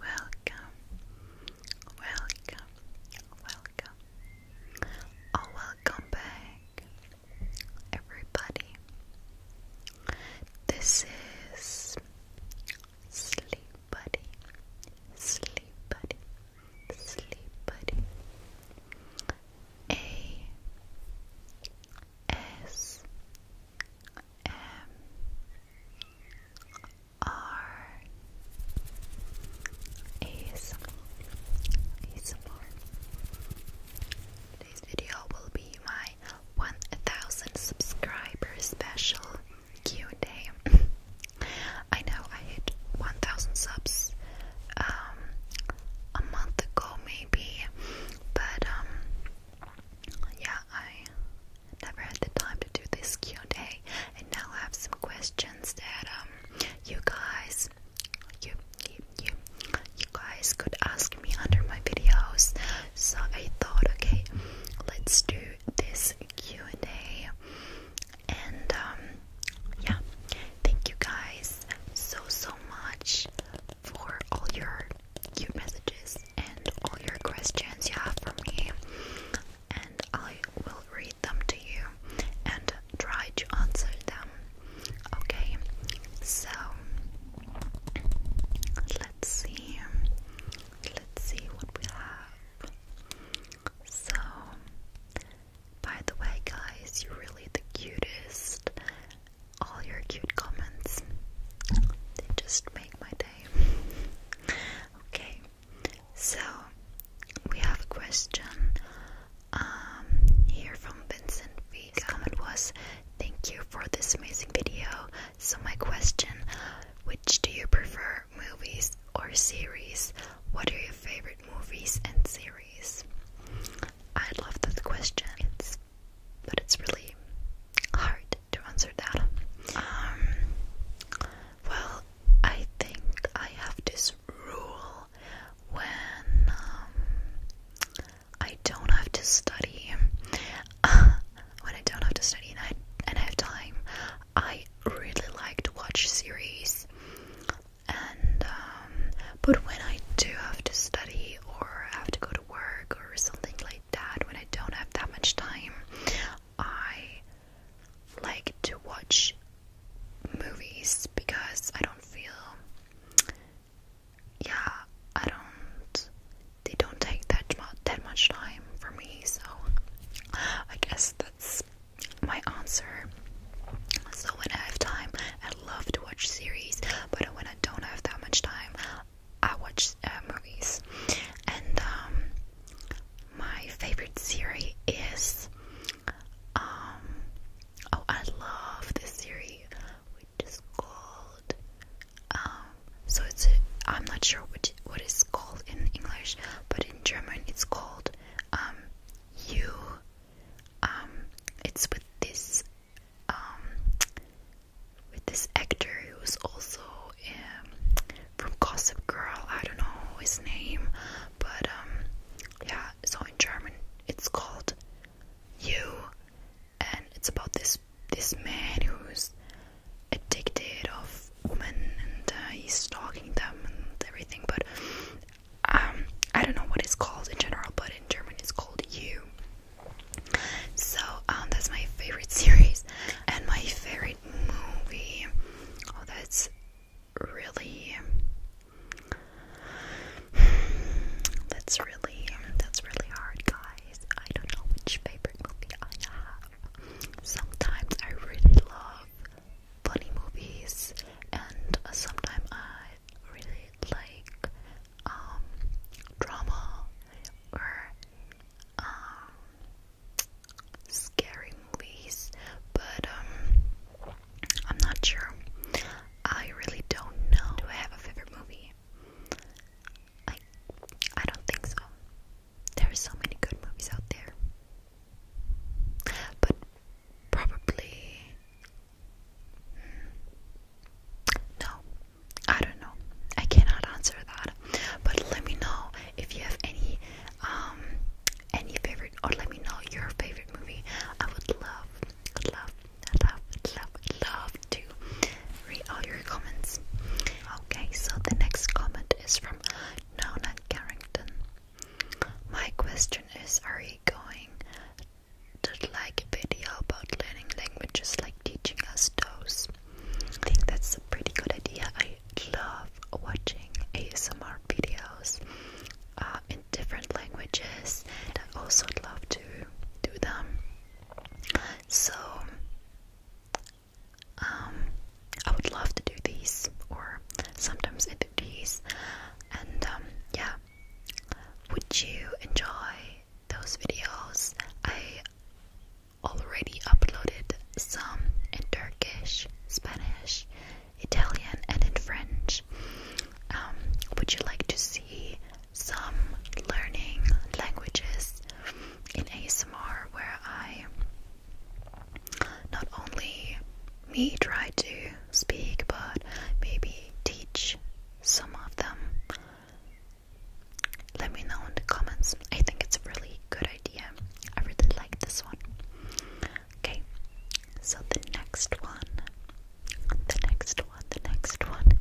Welcome, welcome, welcome, or oh, welcome back, everybody. This is Sleep Buddy, Sleep Buddy, Sleep Buddy. A S M R ASMR Today's video will be my 1000 subscriber special Q and I know I hit 1000 subs um, a month ago maybe but um yeah I never had the time to do this Q&A and now I have some questions that um you guys you, you you you guys could ask me under my videos so I thought okay let's do this Q&A and um yeah thank you guys so so much for all your your messages and all your questions you have for me, and I will read them to you and try to answer them. Okay, so let's see. Let's see what we have. So, by the way, guys, you're really the cutest. All your cute comments, they just make my day okay, so we have a question um, here from Vincent Vega. His comment was, "Thank you for this amazing video. So my question: Which do you prefer, movies or series? What are your favorite movies and series?" I love that question. It's but it's really hard to answer that. Um, well, I think I have this rule when um, I don't have to study. when I don't have to study and I, and I have time, I really like to watch series. And um, but when I do have to study or have to go to work or something like like when I don't have that much time. I like to watch movies because I don't feel yeah, I don't they don't take that much that much time for me, so I guess that's my answer. So when I have time, I love to watch series, but when I don't have that much time, I watch uh, movies, and um, my favorite series is um, oh I love this series which is called um, so it's a, I'm not sure which what called in English, but in German it's called you it's with this with this actor who's also um, from Gossip Girl. I don't know his name, but um, yeah. So in German, it's called You, and it's about this this man who's addicted of women and uh, he's stalking them and everything. But um, I don't know what it's called in general, but in German, it's called You. So um, that's my favorite series and my favorite movie. Oh, that's really. That's really that's really hard, guys. I don't know which favorite movie I have. Sometimes I really love funny movies, and sometimes I really like um, drama or um, scary movies, but um, I'm not sure. I really don't know. Do I have a favorite movie? I I don't think so. There's so many good movies out there. But probably hmm, no, I don't know. I cannot answer that. But let me know if you have any um any favorite or let me know your favorite movie. I would love, love, love, love, love to read all your comments. Okay, so the next comment is from Nona Carrington. My question is are you going to like Video about learning languages, like teaching us those. I think that's a pretty good idea. I love watching ASMR videos uh, in different languages, and I also love to do them. So, um, I would love to do these, or sometimes I do these, and um, yeah. Would you enjoy those videos, I already uploaded some in Turkish, Spanish, Italian, and in French. Um, would you like to see some learning languages in ASMR where I not only me try to speak but maybe teach some of them? Let me know in the comments. I think it's a really good idea. I really like this one. Okay, so the next one, the next one, the next one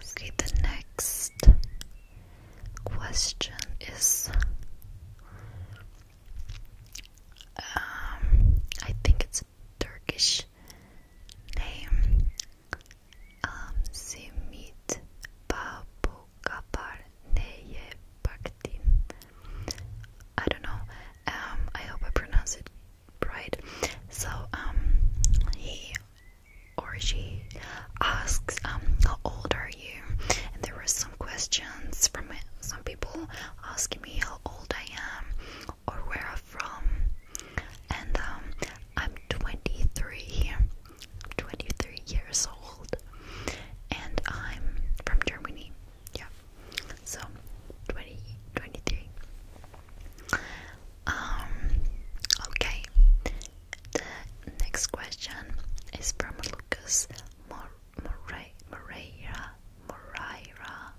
is okay, the next question is. Um, I think it's a Turkish name am sie mit Babukaparneye Baktin. I don't know. Um, I hope I pronounce it right. So um, he or she asks, um, how old are you? And there were some questions from some people asking me how old I am or where I'm from. And um, I'm 23, years old, and I'm from Germany. Yeah, so 20, 23. Um, okay. The next question is from Lucas Mor Moreira Moreira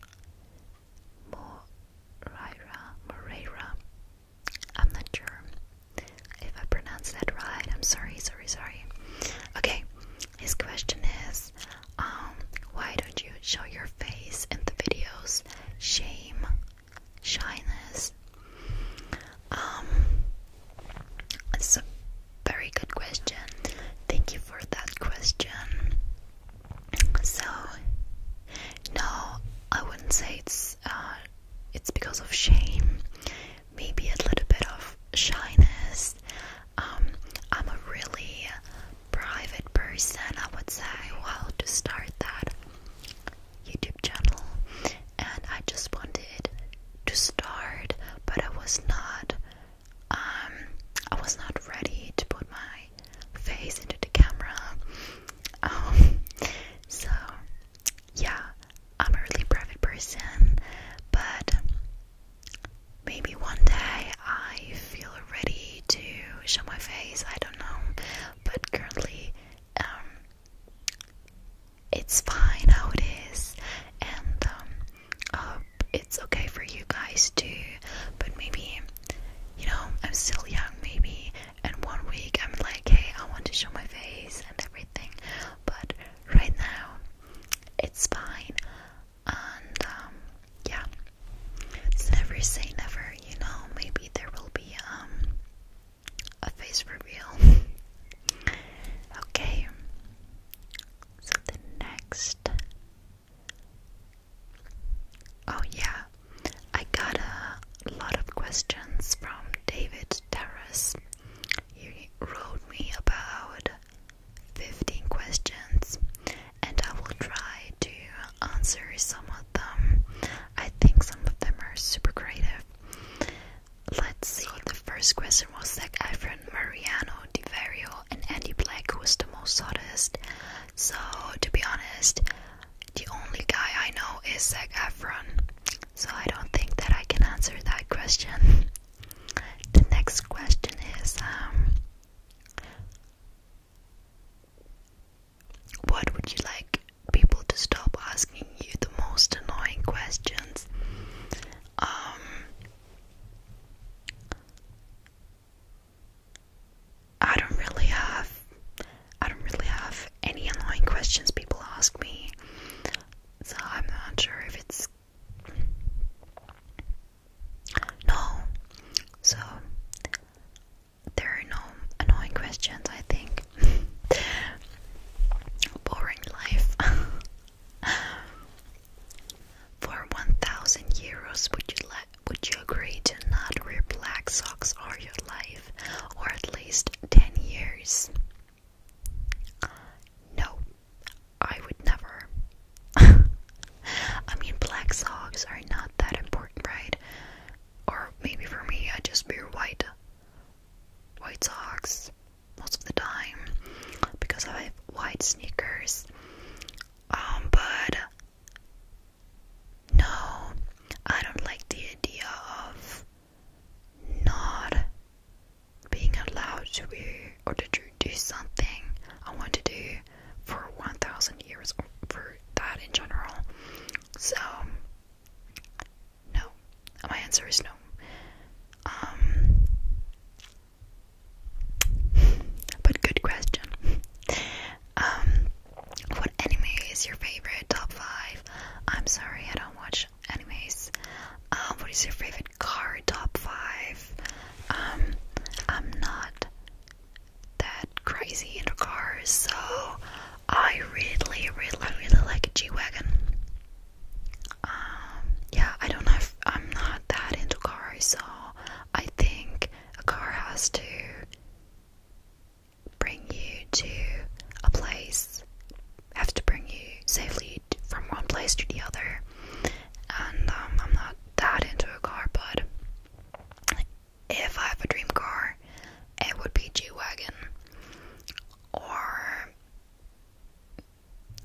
Moreira, Moreira. I'm not sure if I pronounced that right. I'm sorry, sorry, sorry. Okay, his question is um, why don't you show your face in the videos? Shame, shyness. Um, it's a very good question. Thank you for that question. So, no, I wouldn't say it's uh, it's because of shame. Maybe a little bit of shyness. Um, I'm a really private person. I would say, well, to start that YouTube channel, and I just wanted to start, but I was not. Um, I was not ready to put my face into the camera. Um, so, yeah, I'm a really private person, but maybe one day I feel ready to show my face. I don't know, but currently, um, it's fine how it is, and um, it's okay for you guys too. But maybe you know, I'm still young maybe, and one week I'm like, hey, I want to show my face and everything, but right now it's fine, and um, yeah, never say never, you know, maybe there will be um a face reveal. okay, so the next Oh, yeah, I got a lot of questions from David Terrace. He wrote me about 15 questions, and I will try to answer some of them. I think some of them are super creative. Let's see. The first question was like I friend Mariano Di and Andy Black, who is the most hottest. So, to be honest, the only guy I know is Zac Efron. So, I don't think that I can answer that question. The next question is um, What would you like people to stop asking you the most annoying questions? Um, I don't really have I don't really have any annoying questions people ask me. So I'm not sure if it's no. So there are no annoying questions, I think. Boring life. For 1000 euros, would you let would you agree to not wear black socks all your life, or at least 10 years? No, I would never. I mean, black socks are not that important, right? Or maybe for me, I just wear white. White socks most of the time because I have white sneakers. Um, but no, I don't like the idea of not being allowed to wear or to do something I want to do for 1,000 years or for that in general. So, no, my answer is no. Um, but good question. Um, what anime is your favorite? Top five? I'm sorry, I don't watch animes. Um, what is your favorite car? Top five? Um, I'm not that crazy into cars, so I really, really, really like a G wagon. Um, yeah, I don't know I'm not that into cars, so I think a car has to bring you to a place, have to bring you safely from one place to the other. And um, I'm not that into a car, but if I have a dream car, it would be a G Wagon or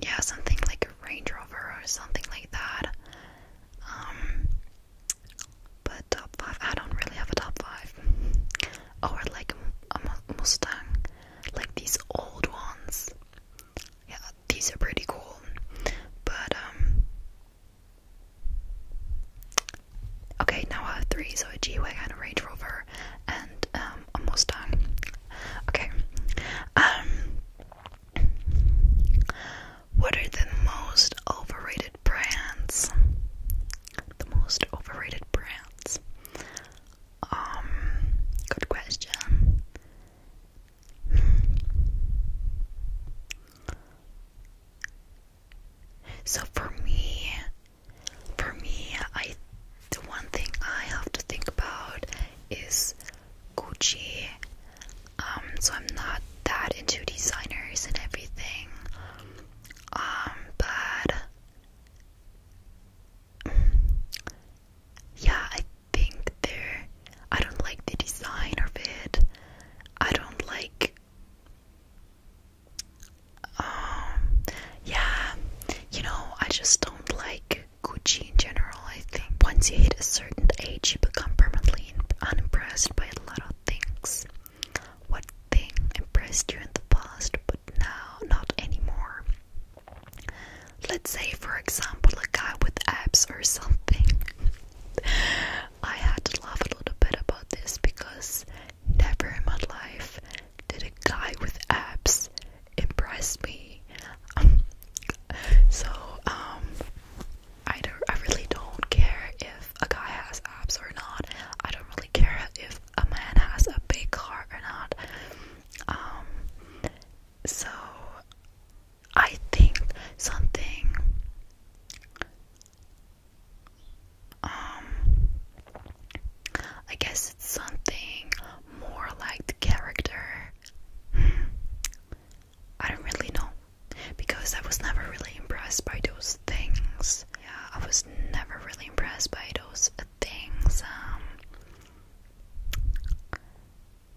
yeah, something like a Range Rover or something like that. Um, but top five, I don't really have a top five. Oh, or like a, Mustang, like these old ones. Yeah, these are pretty cool. But um, okay, now I have three. So a G wagon, a Range Rover, and um, a Mustang. Okay, um, what are the most overrated brands? The most overrated brands. Um, good question. So for me, for me, I the one thing I have to think about is Gucci. Um, so I'm not that into designers and everything. Um, but yeah, I think they I don't like the design of it. I don't like. Um, yeah, you know, I just don't like Gucci in general, I think. Once you hit a certain age, you become permanently unimpressed by a lot of things. What thing impressed you in the past, but now not anymore? Let's say, for example, a guy with abs or something. I had to laugh a little bit about this because never in my life did a guy with abs impress me. so, um, I don't. I really don't care if a guy has abs or not. I don't really care if a man has a big car or not. Um. So, I think something. Um. I guess it's something more like the character. Hmm. I don't really know because I was never really impressed by those things. Yeah, I was never really impressed by those things. Um,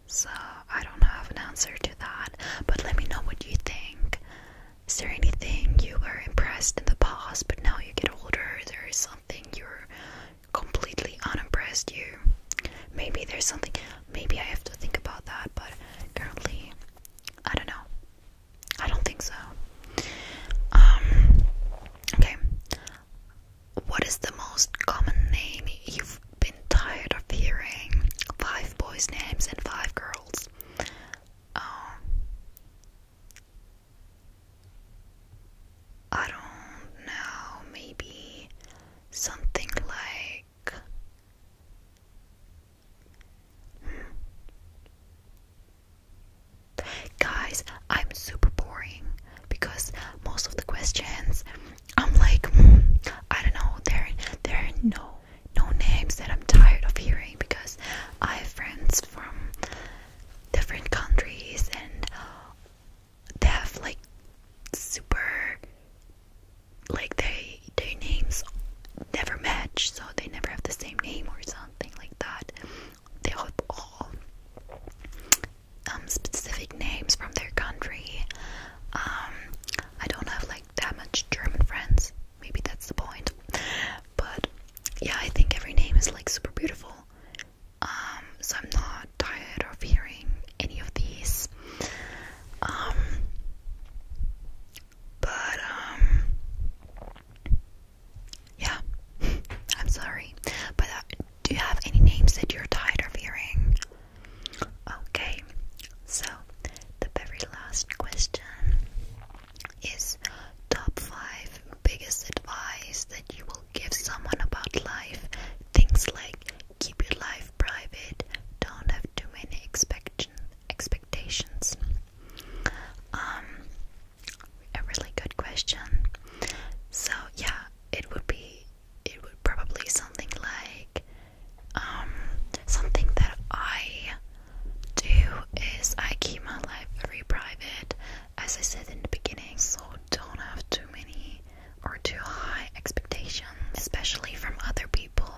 so I don't have an answer to that, but let me know what you think. Is there anything you were impressed in the past, but now you get older? There is something you're completely unimpressed. You maybe there's something maybe I have to think about that, but currently, I don't know. I don't think so. Um, okay. What is the most common name you've been tired of hearing? Five boys' names and five girls. Um, I don't know, maybe something like hmm. guys i'm super boring because most of the questions i'm like hmm, i don't know there there are no no names that i'm tired of hearing because i have friends from different countries and they have like super like they their names never match so they never have the same name or something like that they have all um, specific names from their country um i don't have like that much german friends maybe that's the point but yeah i think every name is like super beautiful um, so I'm not tired of hearing any of these. Um, but um, yeah, I'm sorry. But uh, do you have any names that you're tired of hearing? Okay, so the very last question is top five biggest advice that you will give someone about life. Things like Keep your life private. Don't have too many expectation expectations. Um, a really good question. So yeah, it would be it would probably something like um something that I do is I keep my life very private as I said in the beginning so don't have too many or too high expectations, especially from other people.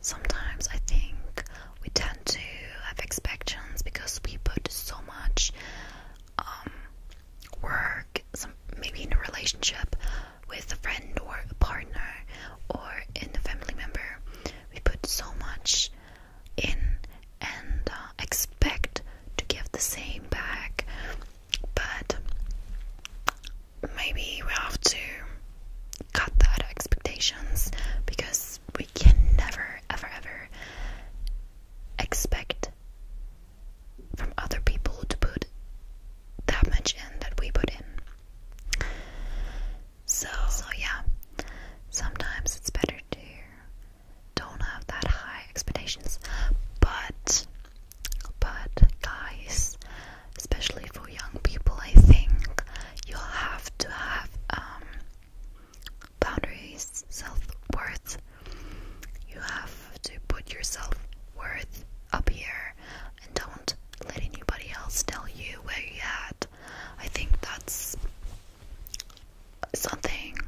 Sometimes I think we tend to have expectations because we put so much um, work, maybe in a relationship with a friend or a partner or in a family member. We put so much in and uh, expect to give the same back but maybe we have to cut that expectations because we can never ever ever expect from other people to put that much in that we put in so so yeah sometimes it's better to don't have that high expectations but but guys, especially for young people, I think you have to have um, boundaries, self-worth. You have to put your self-worth up here and don't let anybody else tell you where you're at. I think that's something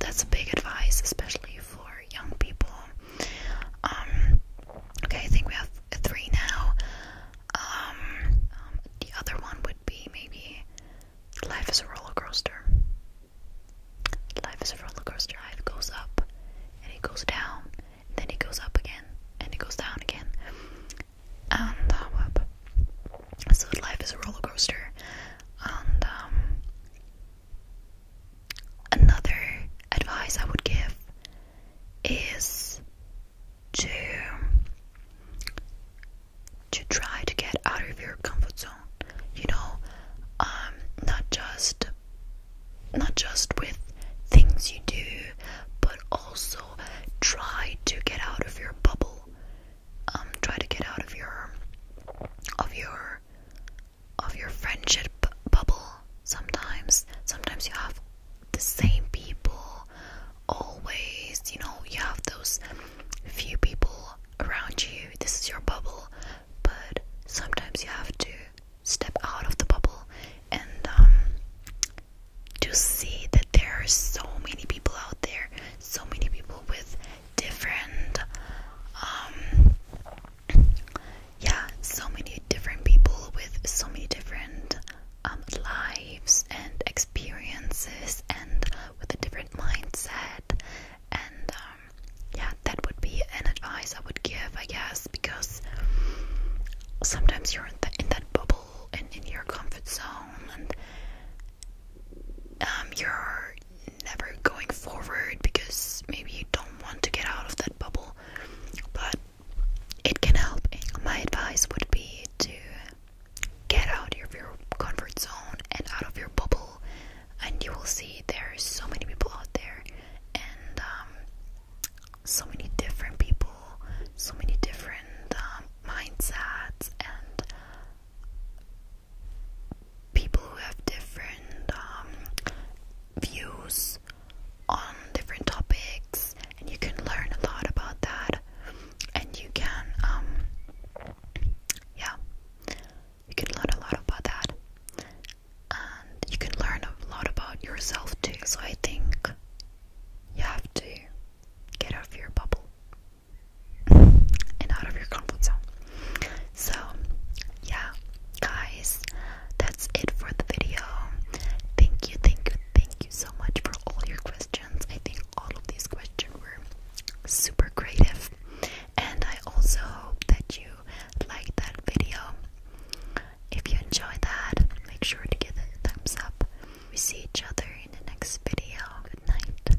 that's a big advice, especially for young people. Um, okay, I think we have three now. Um, um, the other one would be maybe life is a roller coaster. Life is a roller coaster. It goes up and it goes down, and then it goes up again and it goes down again, and up. Uh, so life is a roller coaster, and Another advice I would give is to to try to get out of your comfort zone. You know, um, not just not just with things you do, but also try to get out of your bubble. Um, try to get out of your of your of your friendship bubble sometimes. Sometimes you have the same people always, you know, you have those few people around you. This is your bubble, but sometimes you have to step out of the bubble and um, to see that there are so many people out there, so many people with different um, yeah so many different people with so many different um, lives and experiences and with a different mindset and um, yeah that would be an advice I would give I guess because sometimes you're in that bubble and in your comfort zone and um, you're never going forward because maybe you don't want to get out of that bubble, but it can help. My advice would be to get out of your comfort zone and out of your bubble, and you will see there are so many people out there, and um, so many different people, so many different um, mindsets, and people who have different um, views on different topics, and you can learn a lot about that. And you can, um, yeah, you can learn a lot about that, and you can learn a lot about yourself too. So I think you have to get out of your bubble and out of your comfort zone. So, yeah, guys, that's it for the video. Thank you, thank you, thank you so much for all your questions. I think all of these questions were super creative, and I also hope that you liked that video. If you enjoyed that, make sure to give it a thumbs up. We see each other in the next video. Good night.